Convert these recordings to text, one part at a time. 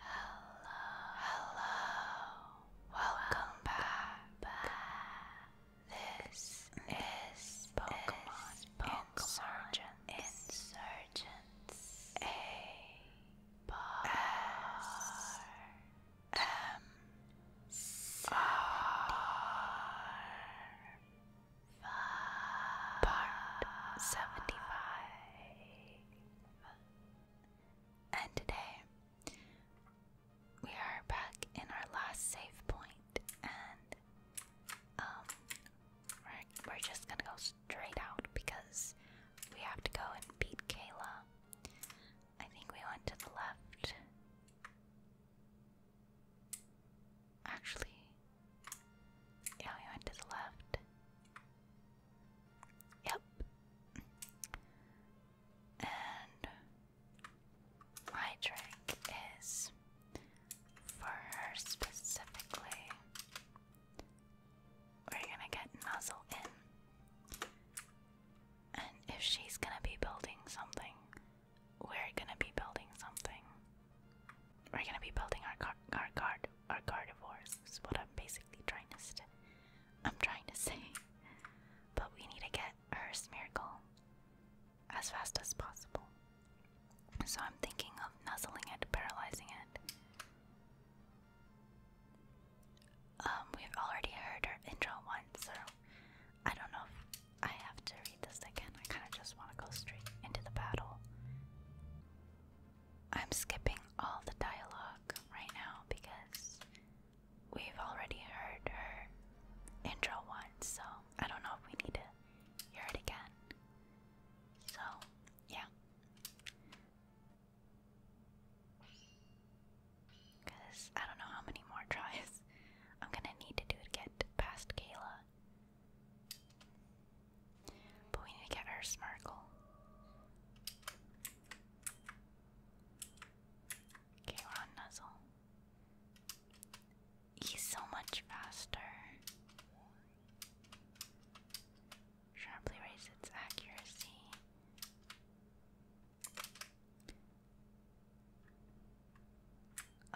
Hello, hello, welcome back. This is Pokemon, is Pokemon Insurgents. Insurgents. M R Part seventy five. And today we are back in our last save point and um we're, we're just gonna go straight out because we have to go and beat Kayla. I think we went to the left. Actually, yeah, we went to the left. Yep. And my trick is for her specifically, we're gonna get Nuzzle and if she's gonna be building something, we're gonna be building something. We're gonna be building our car our guard our carnivores is what I'm basically trying to i I'm trying to say. But we need to get her Smeargle as fast as possible. So I'm thinking of nuzzling it, paralyzing it. Um, we've already heard her intro once, so I don't know if I have to read this again. I kind of just want to go straight into the battle. I'm skipping all the dialogue right now because we've already heard her intro once, so I don't know if we need to hear it again. So, yeah. Because I don't know how many more tries I'm gonna need to do to get past Kayla. But we need to get our Smarkle. Okay, Nuzzle. He's so much faster. Sharply raise its accuracy.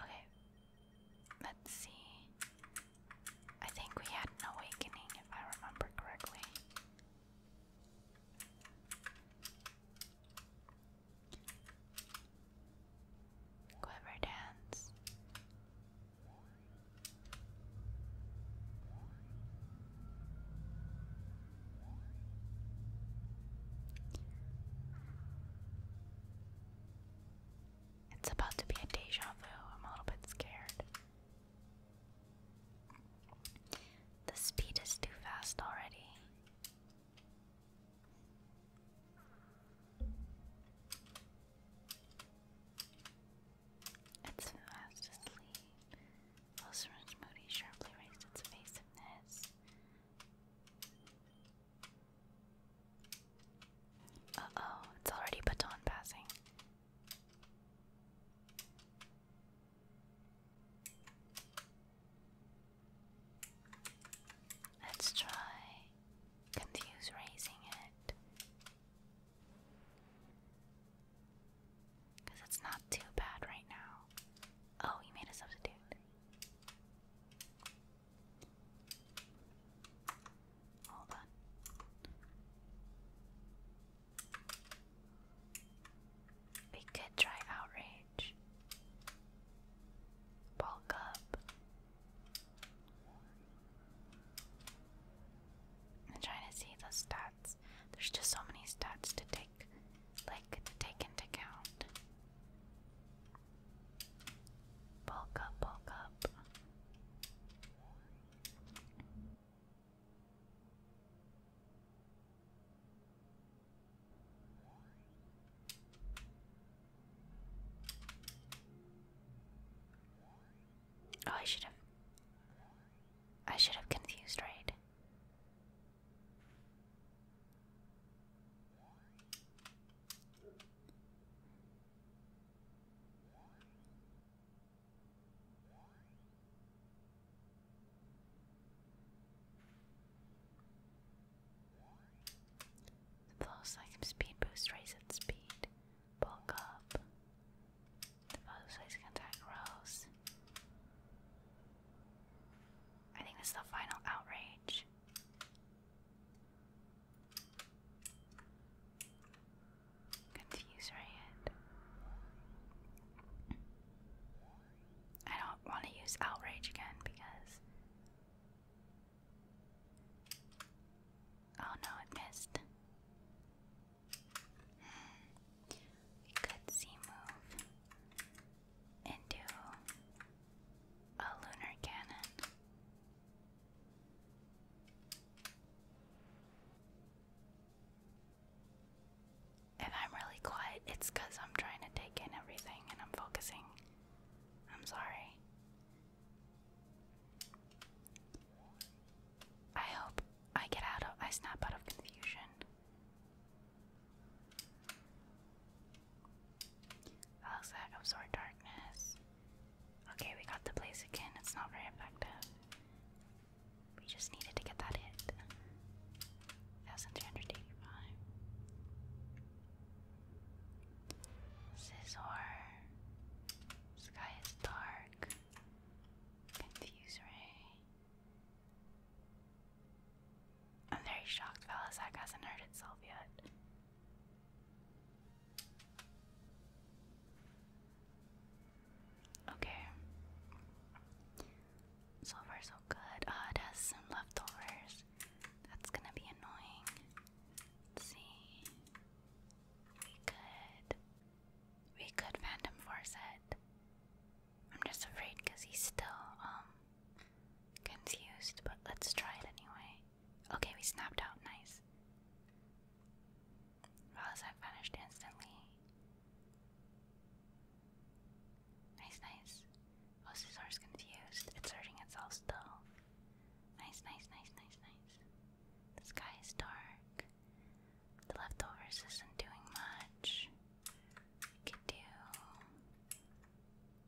Okay. Let's see. I think we had an awakening, if I remember correctly. Quiver dance. It's about to be a deja vu. I'm a little bit scared. The speed is too fast already. It's fast asleep. Ulcerous Moody sharply raised its evasiveness. Uh oh, it's already baton passing. Let's try confuse raising it. Because it's not too bad right now. Oh, he made a substitute. Hold on. We could try outrage. Bulk up. I'm trying to see the stats. There's just so many stats to take, like to take into account. Bulk up, bulk up. Oh, I should have. I should have confused, right? The pulse like speed boost, raise its speed, bulk up, the butterflies can attack Rose. I think this is the final outrage. Confuse Riot. I don't want to use outrage again because. Oh no, it missed. We could see move into a lunar cannon. If I'm really quiet, it's because I'm trying to take in everything and I'm focusing. I'm sorry. I hope I get out of I snap out of confusion. Looks like absorb darkness. Okay, we got the blaze again. It's not very effective. We just needed to get that hit. 1385. Scizor. Sky is dark. Confuse ray. I'm very shocked, fellas. That hasn't hurt itself yet. Okay. So far, so good. Uh, it has some leftovers. That's gonna be annoying. see. We could. We could Phantom Force it. I'm just afraid because he's still um, confused, but let's try it anyway. Okay, we snapped out. Nice. Rosette vanished instantly. Nice, nice. Ossizor's confused. It's hurting itself still. Nice, nice, nice, nice, nice. The sky is dark. The leftovers isn't doing much. We can do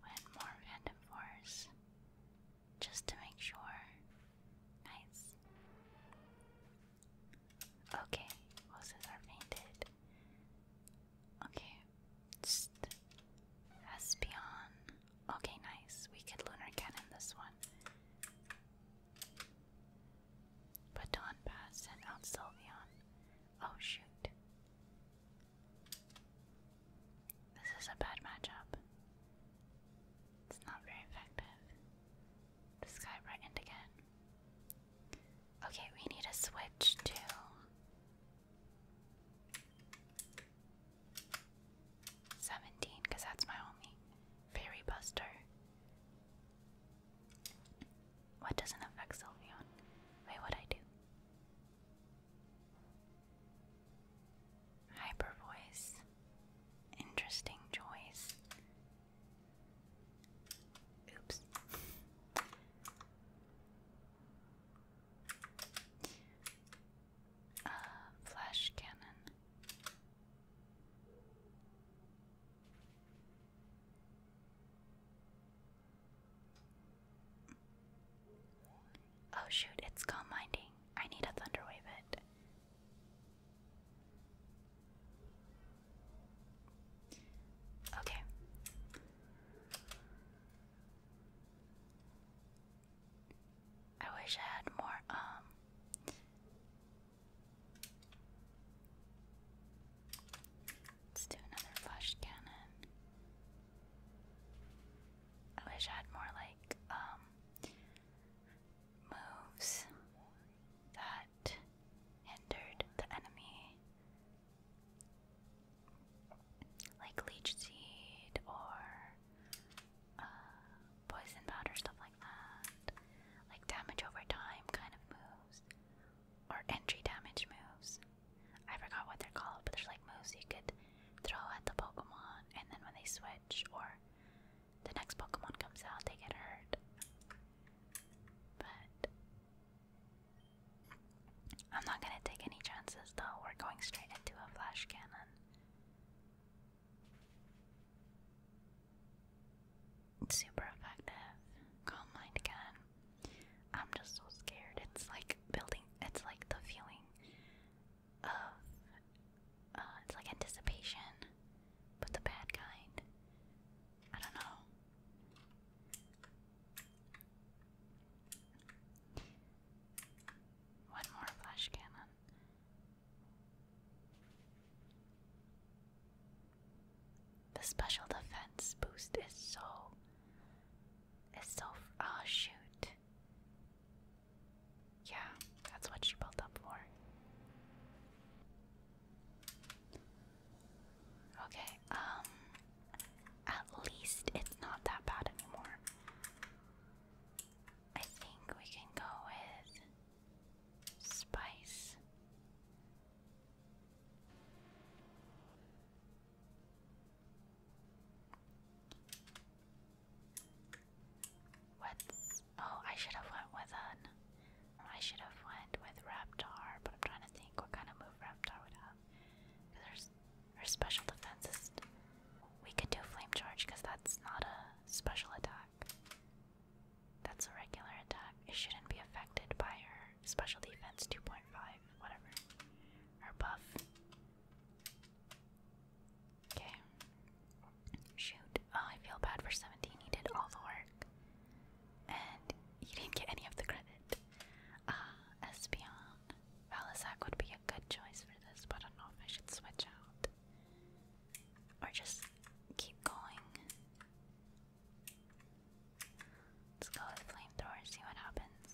one more random force just to make sure. Nice. Okay, roses are painted. Okay, just Espion. Okay, nice. We could lunar cannon this one. But dawn passed, and out Sylveon. Oh shoot. This is a bad matchup. It's not very effective. The sky brightened again. Okay, we need a switch to. Seventeen, because that's my only fairy buster. What doesn't affect Sylveon? Wait, what I do? Hyper voice. Interesting choice. Oops. Uh, flash cannon. Oh shoot, it's calm minding. I need a thunderwave it. Okay. I wish I had more um Let's do another flash cannon. I wish I had more like um, moves that hindered the enemy. Like leech seed or uh, poison powder, stuff like like damage over time kind of moves. Or entry damage moves. I forgot what they're called, but there's like moves you could throw at the Pokemon, and then when they switch or the next Pokemon comes out, they get hurt. But I'm not gonna take any chances though, we're going straight into a flash cannon super effective. Calm again. I'm just so scared. It's like building. It's like the feeling of. Uh, it's like anticipation, but the bad kind. I don't know. One more flash cannon. The special defense boost is so is so oh uh, shoot. Yeah, that's what she built up for. Okay, um at least it's not that bad anymore. I think we can go with spice. What's oh I should have went with an um, I should have went with Raptor, but I'm trying to think what kind of move Raptor would have. Because her special defense we could do flame charge because that's not a special attack. That's a regular attack. It shouldn't be affected by her special defense 2.5, whatever. Her buff. Okay. Shoot. Oh, I feel bad for 17. He did all the work. And he didn't get any of the credit. Ah, uh, Espeon. would be a good choice for this, I don't know if I should switch out. Or just keep going. Let's go with flamethrower, see what happens.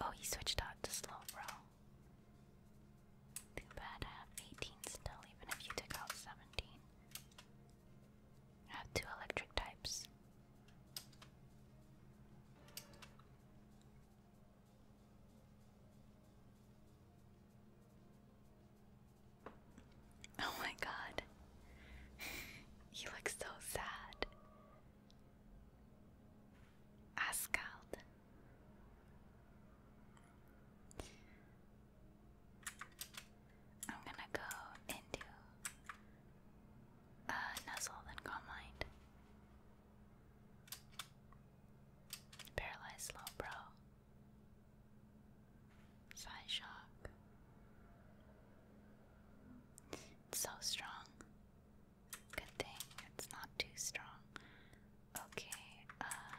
Oh, he switched out to slow, bro. Too bad I have 18 still, even if you took out 17. I have two electric types. Oh my god. you look so sad. Ascald. I'm gonna go into uh, Nuzzle and Calm Mind. Paralyzed Slowbro. Psy Shock. so strong. Good thing it's not too strong. Okay, uh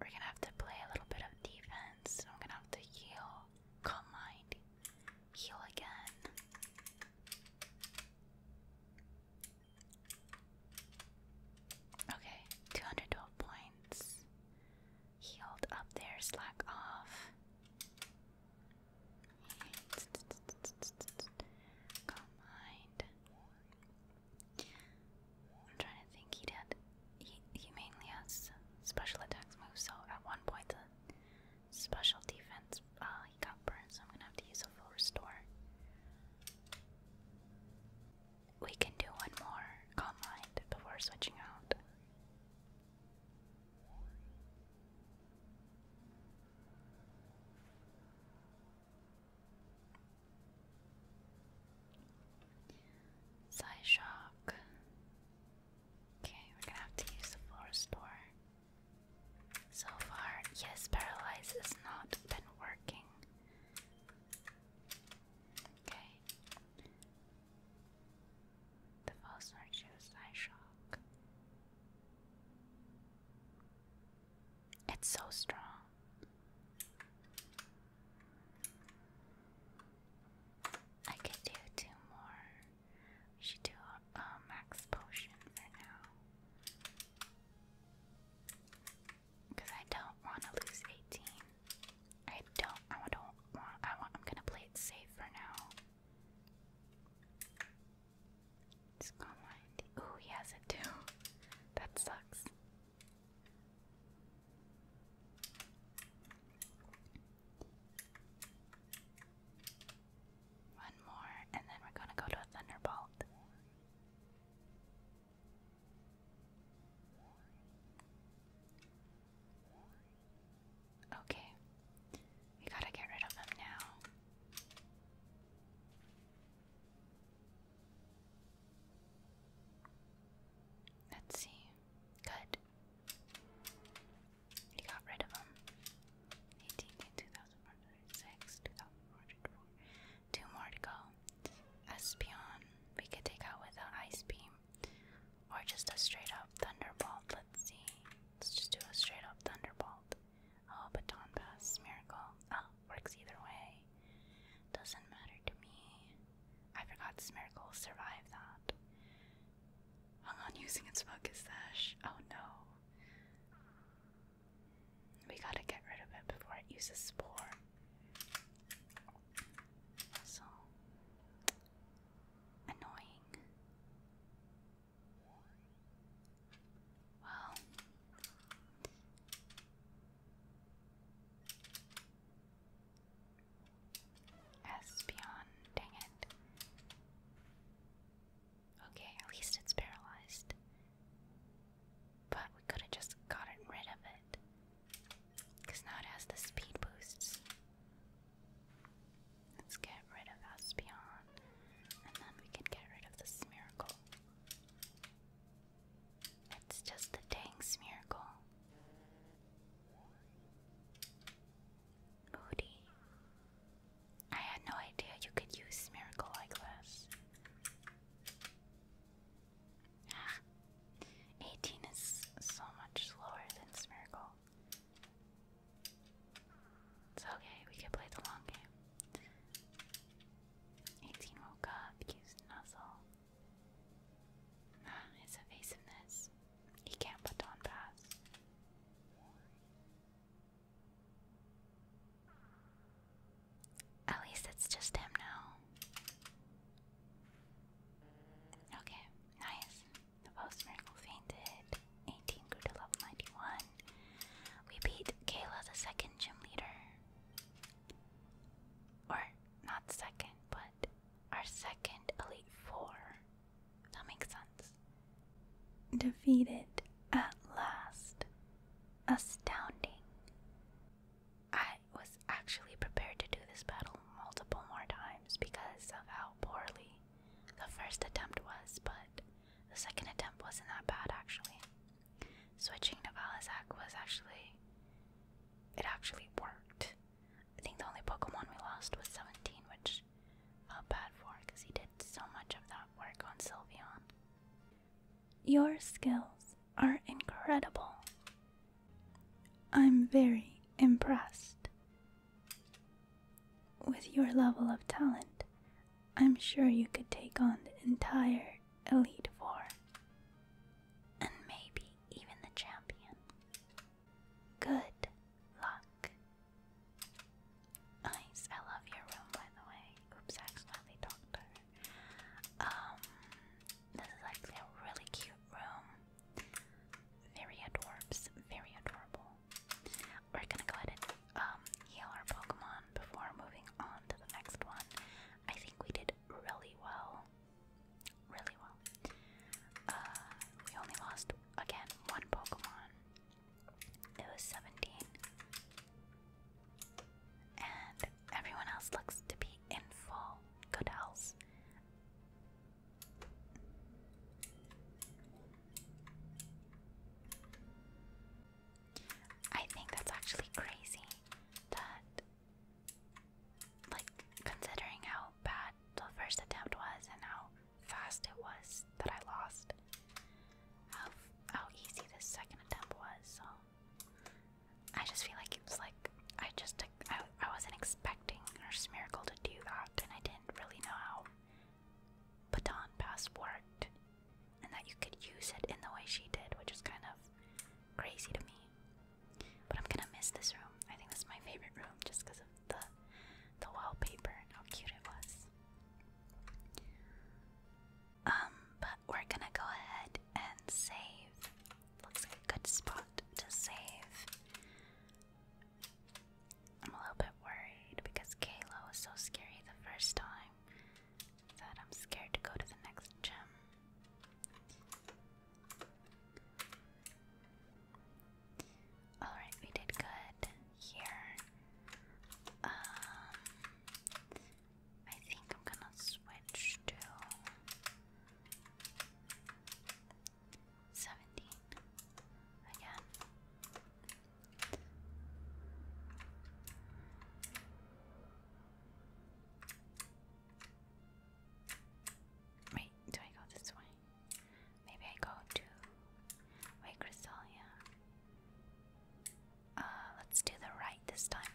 we're gonna have to play a little bit of defense. I'm gonna have to heal. Calm mind. Heal again. Okay, 212 points. Healed up there, slack off. Calm mind. I'm trying to think he did. He, he mainly has special attacks moves, so at one point special defense. Uh, he got burned, so I'm gonna have to use a full restore. We can do one more calm mind before switching out. Psy shock. Okay, we're gonna have to use the floor store. So far, yes, paralyze has not been working. Okay. The false virtues eye shock. It's so strong. I could do two more. We should do a, a max potion for now. Because I don't want to lose 18. I don't, I don't want, I want, I'm gonna play it safe for now. It's gone mind. he has it too. That sucks. One more, and then we're gonna go to a Thunderbolt. Okay, we gotta get rid of him now. Let's see. Good. He got rid of them. 18, 2,406, 2,404. Two more to go. Espion, we could take out with an ice beam. Or just a straight up thunderbolt. Let's see. Let's just do a straight up thunderbolt. Oh, but baton pass, miracle. Oh, works either way. Doesn't matter to me. I forgot this miracle survived that. Hung on using its focus sash. Oh no. We gotta get rid of it before it uses spore. So annoying. Well, Espeon, dang it. Okay, at least it's paralyzed. But we could have just gotten rid of it. Because now it has the speed boosts. Let's get rid of Aspeon. And then we can get rid of the Smeargle. It's just the dang Smeargle. Moody. I had no idea you could use Miracle like this. Ah, 18 is so much slower than Smirgle. It's okay, we can play the long game. 18 woke up, used Nuzzle. Ah, his evasiveness. He can't put on pass. At least it's just him now. Okay, nice. The post miracle fainted. 18 grew level 91. We beat Kayla, the second gym leader. Or, not second, but our second Elite Four. That makes sense. Defeated at last. Astounding. I was actually prepared to do this battle multiple more times because of how poorly the first attempt was, but the second attempt wasn't that bad actually. Switching to Valizac was actually. It actually worked. I think the only Pokemon we lost was 17, which which bad for because he did so much of that work on Sylveon. Your skills are incredible. I'm very impressed. With your level of talent, I'm sure you could take on the entire Elite Four. And maybe even the champion. Good luck. Nice. I love your room, by the way. Oops, accidentally talked to her. Um, this is actually a really cute room. Very adorbs. Very adorable. We're gonna go ahead and um, heal our Pokemon before moving on to the next one. I think we did really well. Really well. Uh, we only lost, again, one Pokemon. It was 17. And everyone else looks to be in full good health. I think that's actually crazy that, like, considering how bad the first attempt was and how fast it was that I lost. How how easy this second attempt was. So I just feel like it's like I just I I wasn't expecting her Miracle to do that, and I didn't really know how baton pass worked, and that you could use it in the way she did, which is kind of crazy to me. But I'm gonna miss this room. I think this is my favorite room just because of the the wallpaper and how cute it was. Um, but we're gonna go ahead and save. Looks like a good spot to save. I'm a little bit worried because Kalo was so scary the first time that I'm scared to go to the next gym. Alright, we did good here. Um, I think I'm gonna switch to 17 again. Wait, do I go this way? Maybe I go to White Crystal, uh, let's do the right this time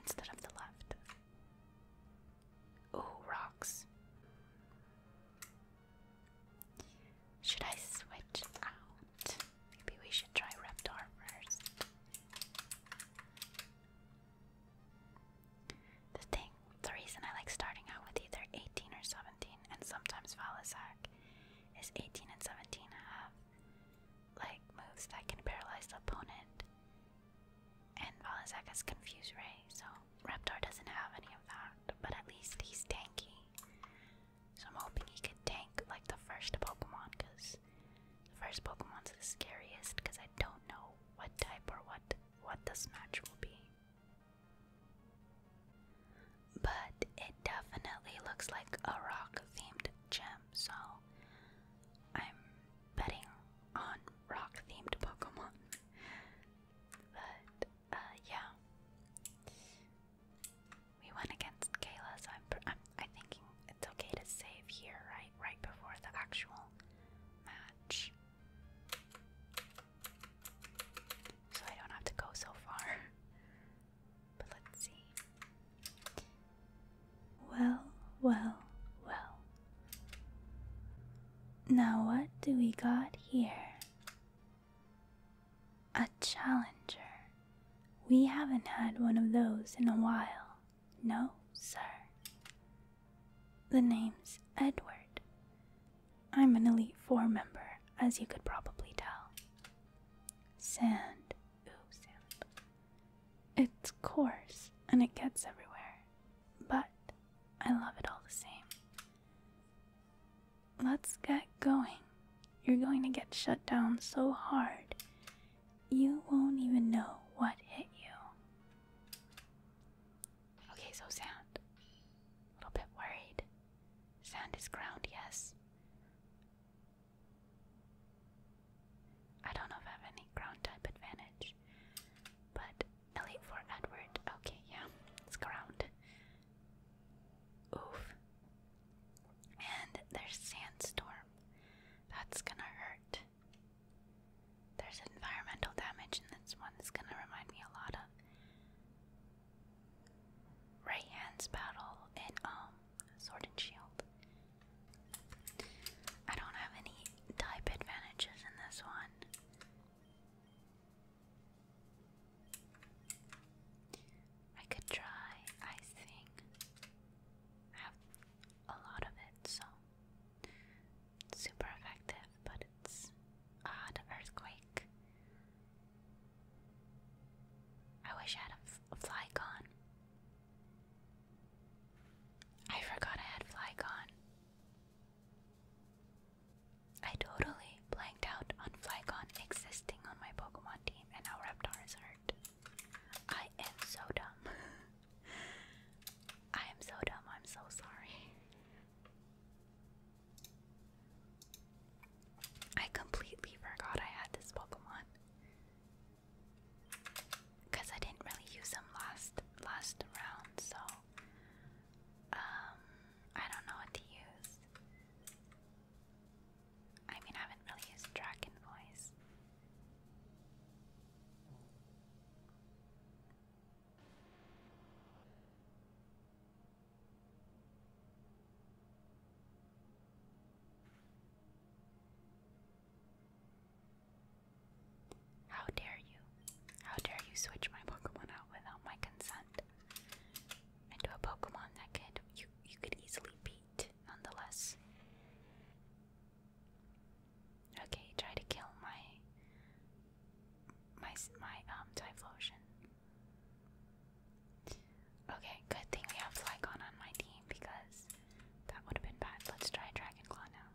instead of the left. Ooh, rocks. Should I switch out? Maybe we should try Reptar first. The thing, the reason I like starting out with either 18 or 17 and sometimes Valisak is 18 and 17 and a half. like moves that can paralyze the opponent. And Valisak has Confuse Ray, so Reptar doesn't have any of that, but at least he's tanky. So I'm hoping he could tank like the first Pokemon, because the first Pokemon's the scariest, because I don't know what type or what what this match will be. But it definitely looks like a rock themed gym, so I'm betting on rock themed Pokemon. but uh, yeah, we went against Kayla, so I'm, I'm I'm thinking it's okay to save here, right? Right before the actual match. So I don't have to go so far. But let's see. Well, well, well. Now, what do we got here? A challenger. We haven't had one of those in a while. No, sir. The name's Edward. I'm an Elite Four member, as you could probably tell. Sand. Ooh, sand. It's coarse and it gets everywhere, but I love it all the same. Let's get going. You're going to get shut down so hard, you won't even know what hit you. Okay, so sound. A little bit worried. Sound is ground, yes. I don't know if I have any ground type advantage. But Elite for Edward. Okay, yeah, it's ground. Oof. And there's sandstorm. That's gonna hurt. There's environmental damage, and that's one gonna remind me a lot of Right hands battle in um Sword and Shield. I don't have any type advantages in this one. I could try ice thing. I have a lot of it, so super effective, but odd earthquake. I wish I had a, Flygon. I forgot I had Flygon. I totally blanked out on Flygon existing on my Pokemon team, and now Reptar is hurt. I am so dumb. I am so dumb. I'm so sorry. I completely forgot I had this Pokemon. Cause I didn't really use them last last round, so um I don't know what to use. I mean I haven't really used Dragon Voice. How dare you? How dare you switch my Pokemon out without my consent? Into a Pokemon that could you you could easily beat nonetheless. Okay, try to kill my my my um Typhlosion. Okay, good thing we have Flygon on my team because that would have been bad. Let's try Dragonclaw now.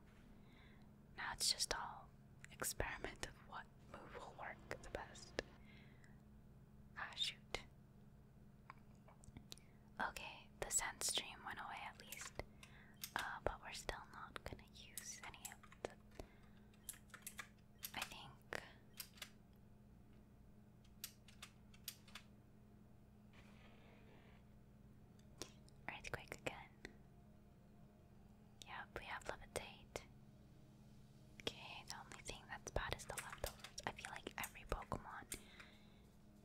Now it's just all experiment of what move will work the best. Ah, shoot. Okay, the sand stream went away at least, uh, but we're still not gonna use any of the I think. Earthquake again. Yep, we have levitate. Okay, the only thing that's bad is the leftovers. I feel like every Pokemon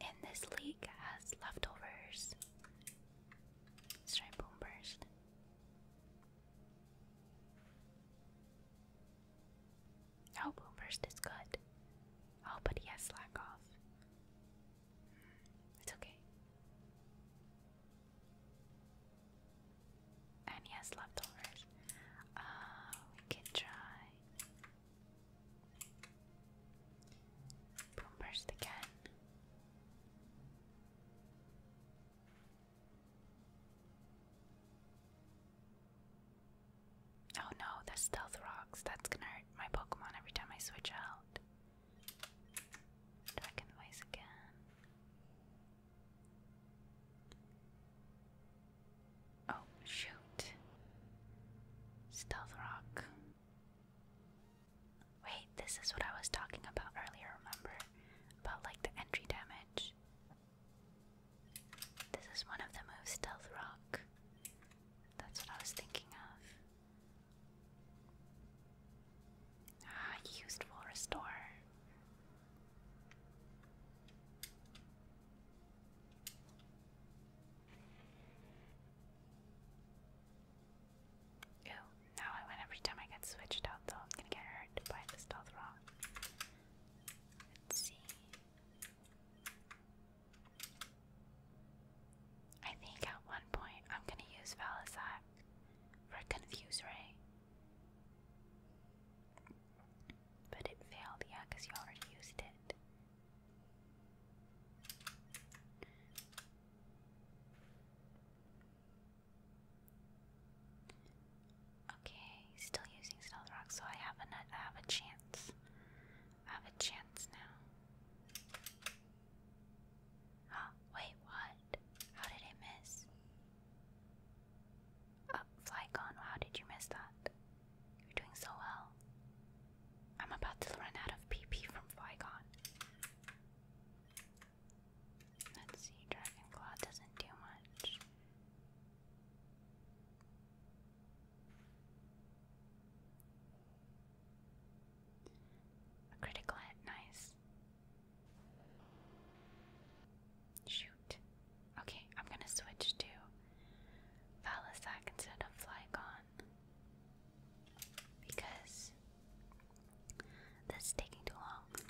in this league has leftovers. Let's Burst. Oh, boom burst is good. Oh, but he has slack off. Hmm, it's okay. And he has leftovers. Uh, we can try boom burst again. Oh no, the stealth rocks. That's gonna hurt my Pokemon every time I switch out. Dragon Voice again. Oh, shoot. Stealth Rock. Wait, this is what I was talking about earlier, remember? About like the entry damage. This is one of the moves, Stealth Rock. That's what I was thinking of. Ah, used will restore. Ew, now, every time I get switched out, though, I'm gonna get hurt by the stealth rock. Let's see. I think at one point I'm gonna use Valisac for Confuse Ray. But it failed, yeah, you already used it. Okay, still using stealth rock, so I have a I have a chance. I have a chance now. Oh, wait, what? How did it miss? Oh, Flycon, how did you miss that? You're doing so well. I'm about to run out of PP from Flygon. Let's see, Dragon Claw doesn't do much. A critical hit, nice. Shoot. Okay, I'm gonna switch to Falisac instead of Flygon. Because this is taking too long.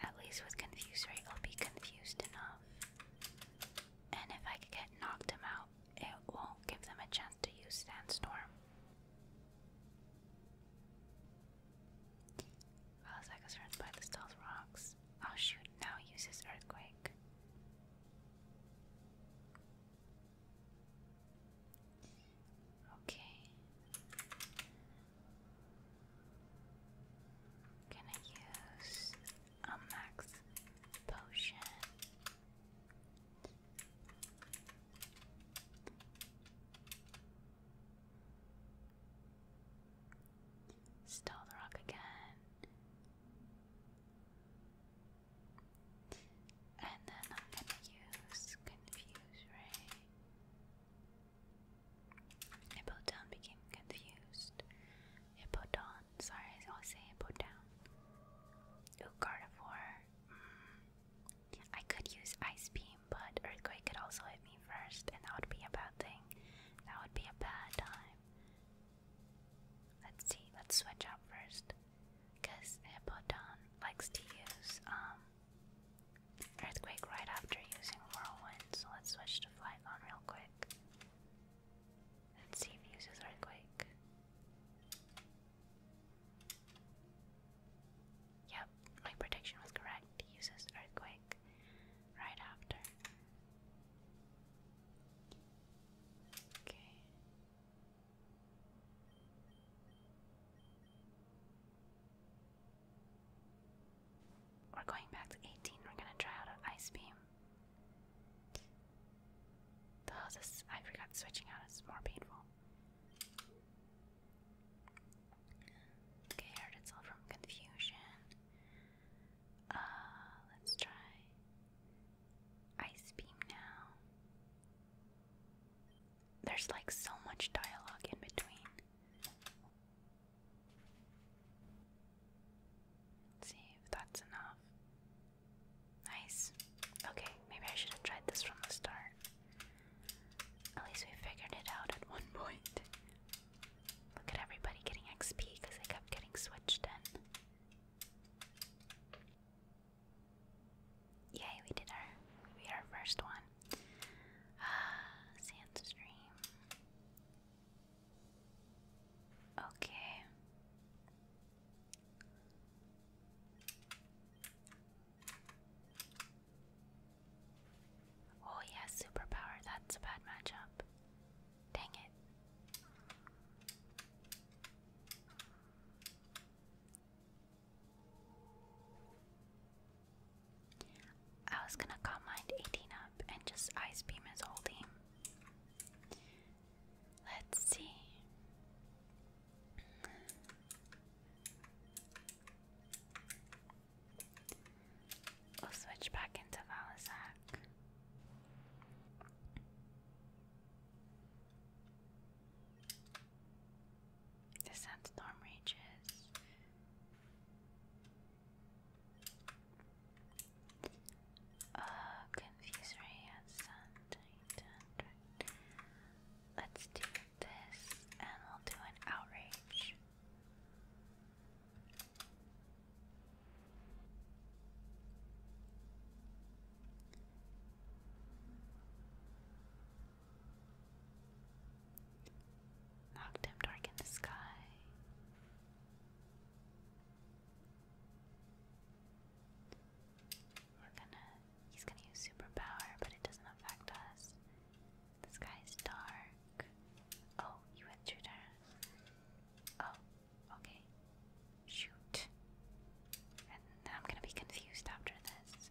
At least with Confuse Ray, I'll be confused enough. And if I can get knocked him out, it won't give them a chance to use Sandstorm. Well, I by the stealth rocks. Oh shoot, now he uses Earthquake. Okay. Gonna use a max potion. Stall the rock again. And then I'm gonna use confuse ray. Hippodown became confused. Hippodon, sorry, I'll say Hippodown. Ooh, mm. I could use Ice Beam, but Earthquake could also hit me first, and that would be a bad thing. That would be a bad time. Let's see, let's switch out first. Because Hippodon likes to use, um, Earthquake right after using Whirlwind, so let's switch to Flygon real quick. Let's see if he uses Earthquake. Yep, my prediction was correct. He uses Earthquake right after. Okay. We're going back to 18. We're gonna try out an ice beam. Oh, this I forgot switching out is more painful. Okay, heard it's from confusion. Uh, let's try ice beam now. There's like so much dialogue in between. see if that's enough. Nice. Okay, maybe I should have tried this from the start. At least we figured it out at one point. Look at everybody getting XP because I kept getting switched in. Yay, we did our we did our first one. Ah, sand Okay. Oh yeah, superpower, that's a bad matchup. Dang it. I was gonna call mine 18 up and just ice beam his holding. team. Let's see. We'll switch back into Valisac. The sandstorm rages. Uh, confuse ray and Let's do this, and we'll do an outrage. Knocked dark in the sky. He's gonna use superpower, but it doesn't affect us. The sky's dark. Oh, you went through there. Oh, okay. Shoot. And I'm gonna be confused after this.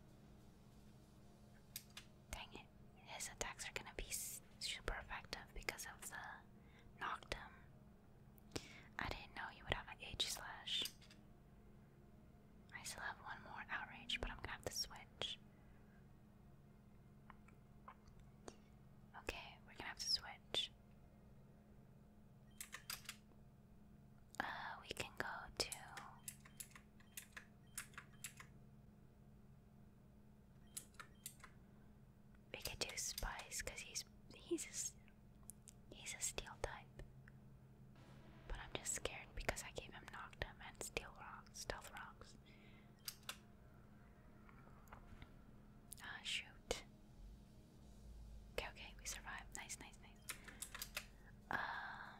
Dang it, his attacks are gonna be super effective because of the knockdown. I didn't know you would have an H slash. I still have one more outrage, but I'm gonna have to switch. Okay, we're gonna have to switch. Uh, we can go to we could do Spice because he's he's a, he's a steel type. But I'm just scared because I gave him Noctum and Steel Rocks, Stealth Rocks. Ah, shoot. Okay, okay, we survived. Nice, nice, nice. Um,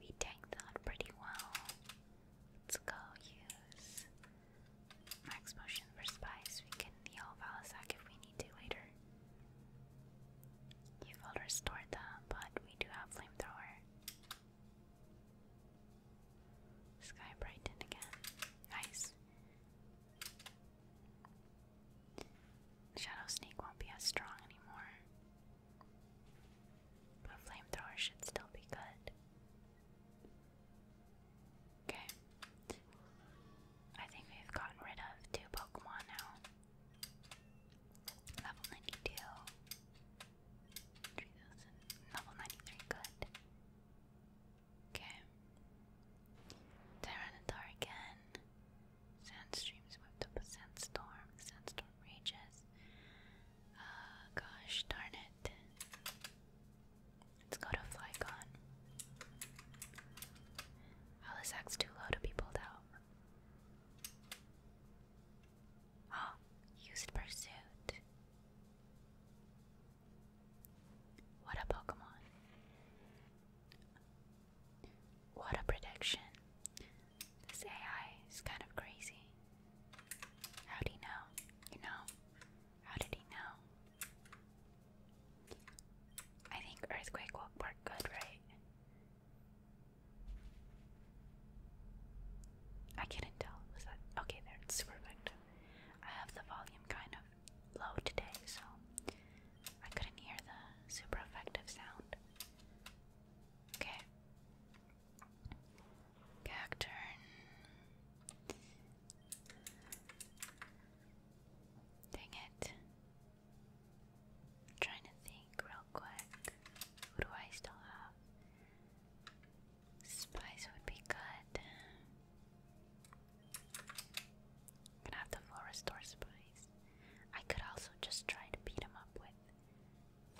we tanked that pretty well. Let's go use max potion for spice. We can heal Valisac if we need to later. You've all restored that, but we do have flamethrower. Sky brightened again. Nice. Shadow Sneak won't be as strong anymore. But Flamethrower should still be good. Okay. I think we've gotten rid of two Pokemon now. Level 92. Level 93, good. Okay. Tyranitar again. Sand streams whipped up a sandstorm. Sandstorm rages. Uh, gosh darn it. Let's go to Flycon. Oh, this act's too low to be pulled out. Oh, used pursuit. What a Pokemon. What a prediction. This AI is kind of crazy. How did he know? You know? How did he know? I think earthquake will work good, right? I couldn't tell. Was that okay? There, super effective. I have the volume kind of low today, so I couldn't hear the super effective sound. Okay. Cacturn. Dang it. i trying to think real quick. Who do I still have? Spice would be good. gonna have to full restore spice. I could also just try to beat him up with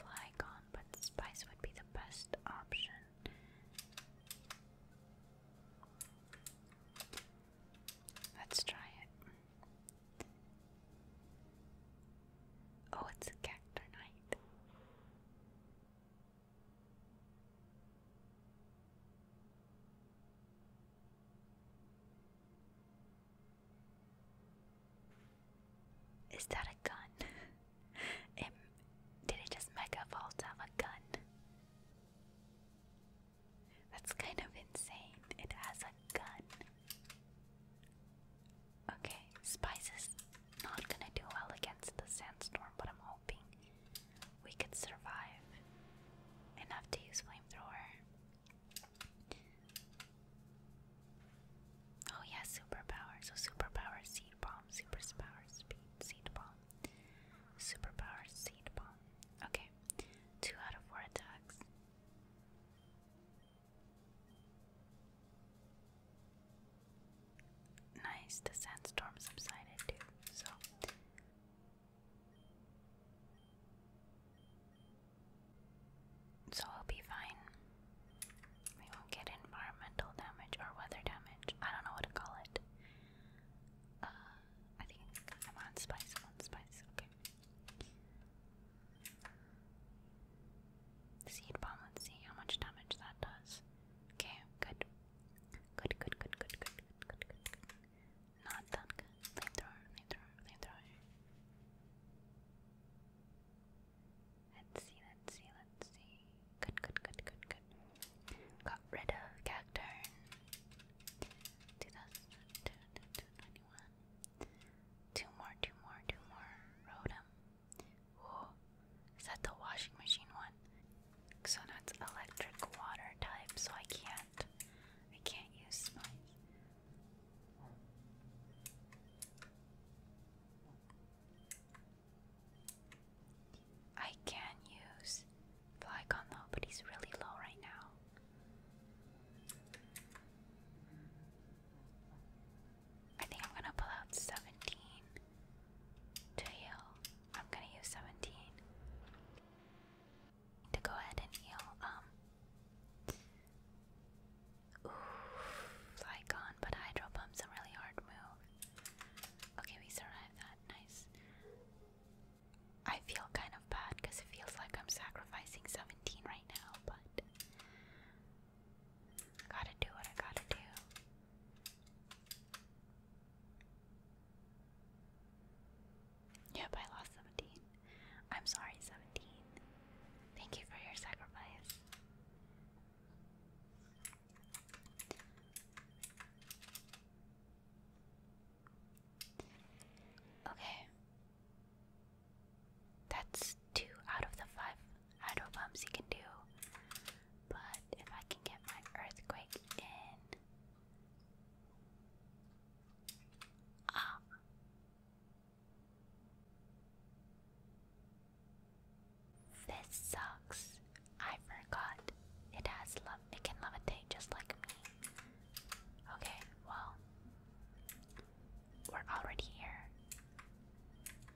Flygon, but Spice would be the best option. Let's try it. Oh, it's a is that a gun? did it just mega vault have a gun? That's kind of insane. It has a gun. Okay, spices not gonna do well against the sandstorm, but I'm hoping we could survive enough to use flamethrower. Oh yeah, superpower. So superpower seed bomb, superpower speed seed bomb, superpower seed bomb. Okay, two out of four attacks. Nice. The sandstorm subsided too. So so i will be fine. We won't get environmental damage or weather damage. I don't know what to call it. Uh, I think I'm on spice, on spice, okay. Seed bomb, let's see how much damage that does. Okay, Good, good, good, good, good, good, good, good. Not that good. Let's see, let's see, let's see. Good, good, good, good, good. Got rid of Cacturn. 2021. Two more, two more, two more. Rotom. Whoa. Is that the washing machine one? So that's electric water type, so I can't I can't use spice. I can use black on but he's really low right now. I think I'm gonna pull out 17 to heal. I'm gonna use 17 to go ahead and heal. Um, ooh, but Hydro Pump's a really hard move. Okay, we survived that. Nice. I feel kind of bad because it feels like I'm sacrificing 17 right now, but gotta do what I gotta do. Yep, I lost 17. I'm sorry, 17. Thank you for your sacrifice. Okay. That's two out of the five idle bumps you can do. But if I can get my earthquake in. Ah, this sucks. I forgot. It has love. It can levitate just like me. Okay, well, we're already here.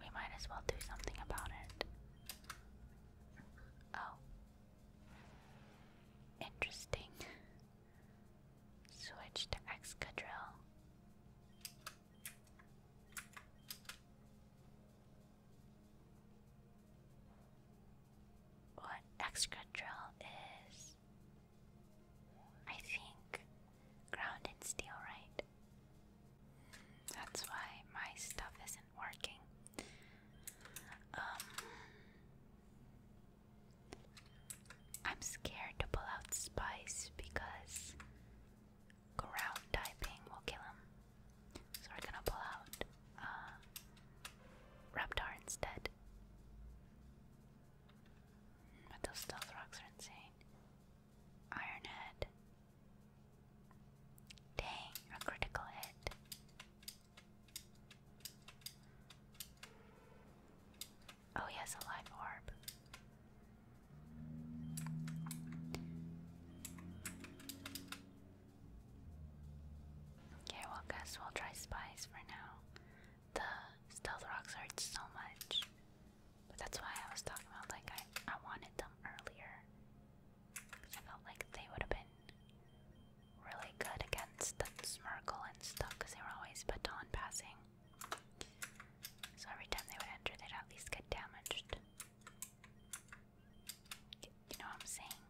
We might as well do something about it. Oh. Interesting. Switch to Excadrill. What Excadrill is, I think, ground steel, right? That's why my stuff isn't working. Um, I'm scared to pull out Spice because ground typing will kill him. So we're gonna pull out um, Raptor instead. But those stealth rocks are insane. Ironhead. Dang, a critical hit. Oh, yes, a live orb. Okay, well, guess we'll try spice for now. The stealth rocks hurt so much, but that's why I was talking about like I I wanted them earlier. I felt like they would have been really good against the Smirkle and stuff because they were always baton passing. So every time they would enter, they'd at least get damaged. You know what I'm saying?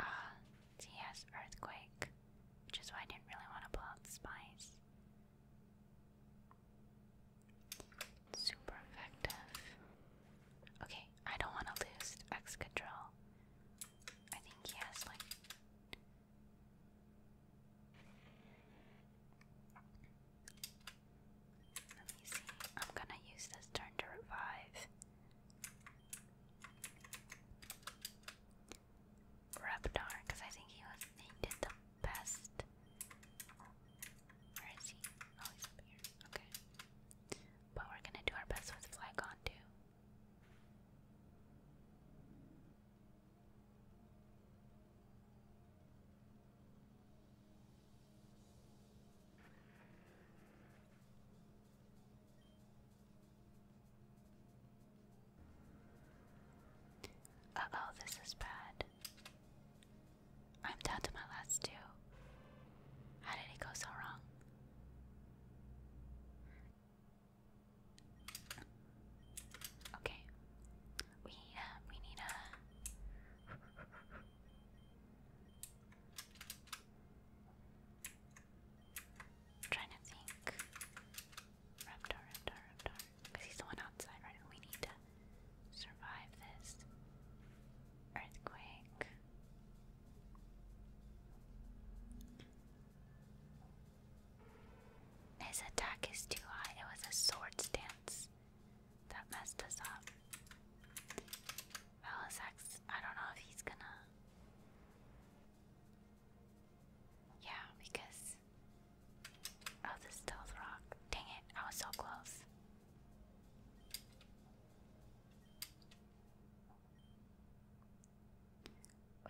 Ah, uh, Earthquake, which is why I didn't really want to pull out the Spies. Super effective. Okay, I don't want to lose X I think he has like. Let me see. I'm gonna use this turn to revive. Reptar, because I think he was he did the best. Where is he? Oh, he's up here. Okay. But we're gonna do our best with Flygon too. Uh oh, this is bad. I'm down to my last two. How did it go so wrong? Okay. We need a. We need a. trying to think. Raptor, Raptor, Raptor. Because he's the one outside, right? We need to survive this earthquake. His attack is too high. It was a sword stance that messed us up. Valisax, I don't know if he's gonna. Yeah, because of oh, the stealth rock. Dang it, I was so close.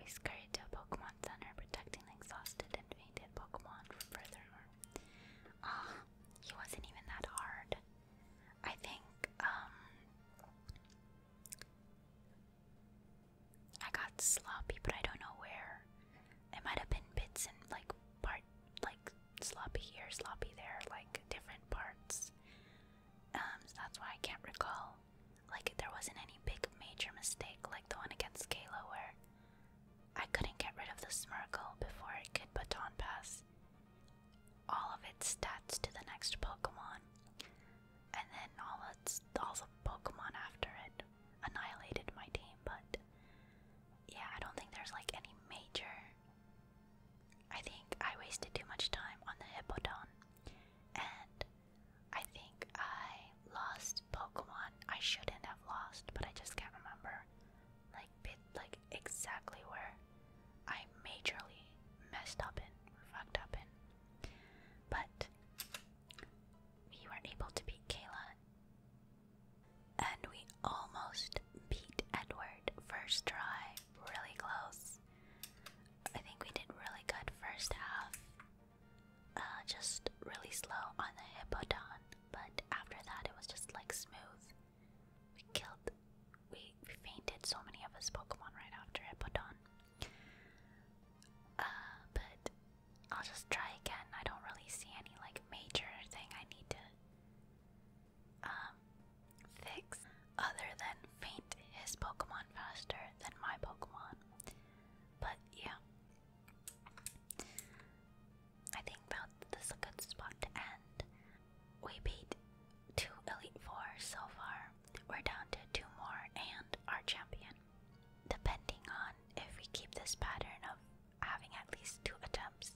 We scurried to a Pokemon Center, protecting the exhausted and fainted Pokemon from further harm. Ah, he wasn't even that hard. I think, um, I got sloppy, but I don't know where. It might have been bits and like part, like sloppy here, sloppy there, like different parts. Um, that's why I can't recall. Like, there wasn't any big major mistake like the one against Kayla where I couldn't get rid of the Smirgle before it could baton pass all of its stats to the next Pokemon. And then all its all the Pokemon after it annihilated my team, but yeah, I don't think there's like any major I think I wasted too much time on the Hippodon, and I think I lost Pokemon I shouldn't have lost, but I just can't remember, like bit, like exactly where I majorly messed up in, fucked up in. But we were able to beat Kayla, and we almost beat Edward first try really close. I think we did really good first half. Uh, just really slow on the hippodon, but after that it was just like smooth. We killed, we, we fainted so many of his Pokemon right after hippodon. Uh, but I'll just try again. I don't really see any like major thing I need to um, fix other than faint his Pokemon faster than my Pokemon. But yeah, I think that's a good spot to end. We beat two Elite Four so far. We're down to two more and our champion. Depending on if we keep this pattern of having at least two attempts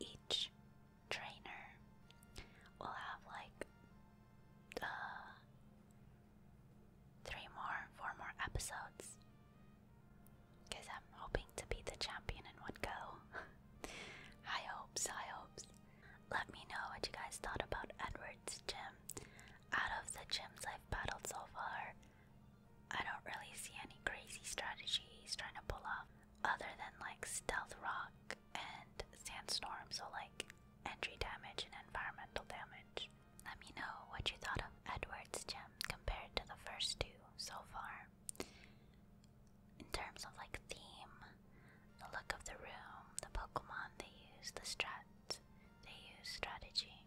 each, trainer will have like uh, three more, four more episodes. Because I'm hoping to be the champion in one go. high hopes, high hopes. Let me know what you guys thought about Edward's gym. Out of the gyms I've battled so far, I don't really see any crazy strategies trying to pull off other than like Stealth Rock and sandstorm, so like entry damage and environmental damage. Let me know what you thought of Edward's gem compared to the first two so far. In terms of like theme, the look of the room, the Pokemon they use, the strat they use, strategy.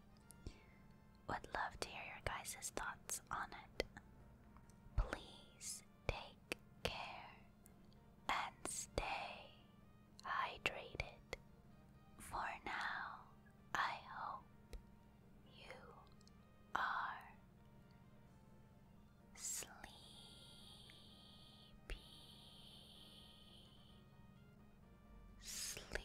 Would love to hear your guys' thoughts on it. Please Take care and stay hydrated. For now, I hope you are sleepy. Sleepy.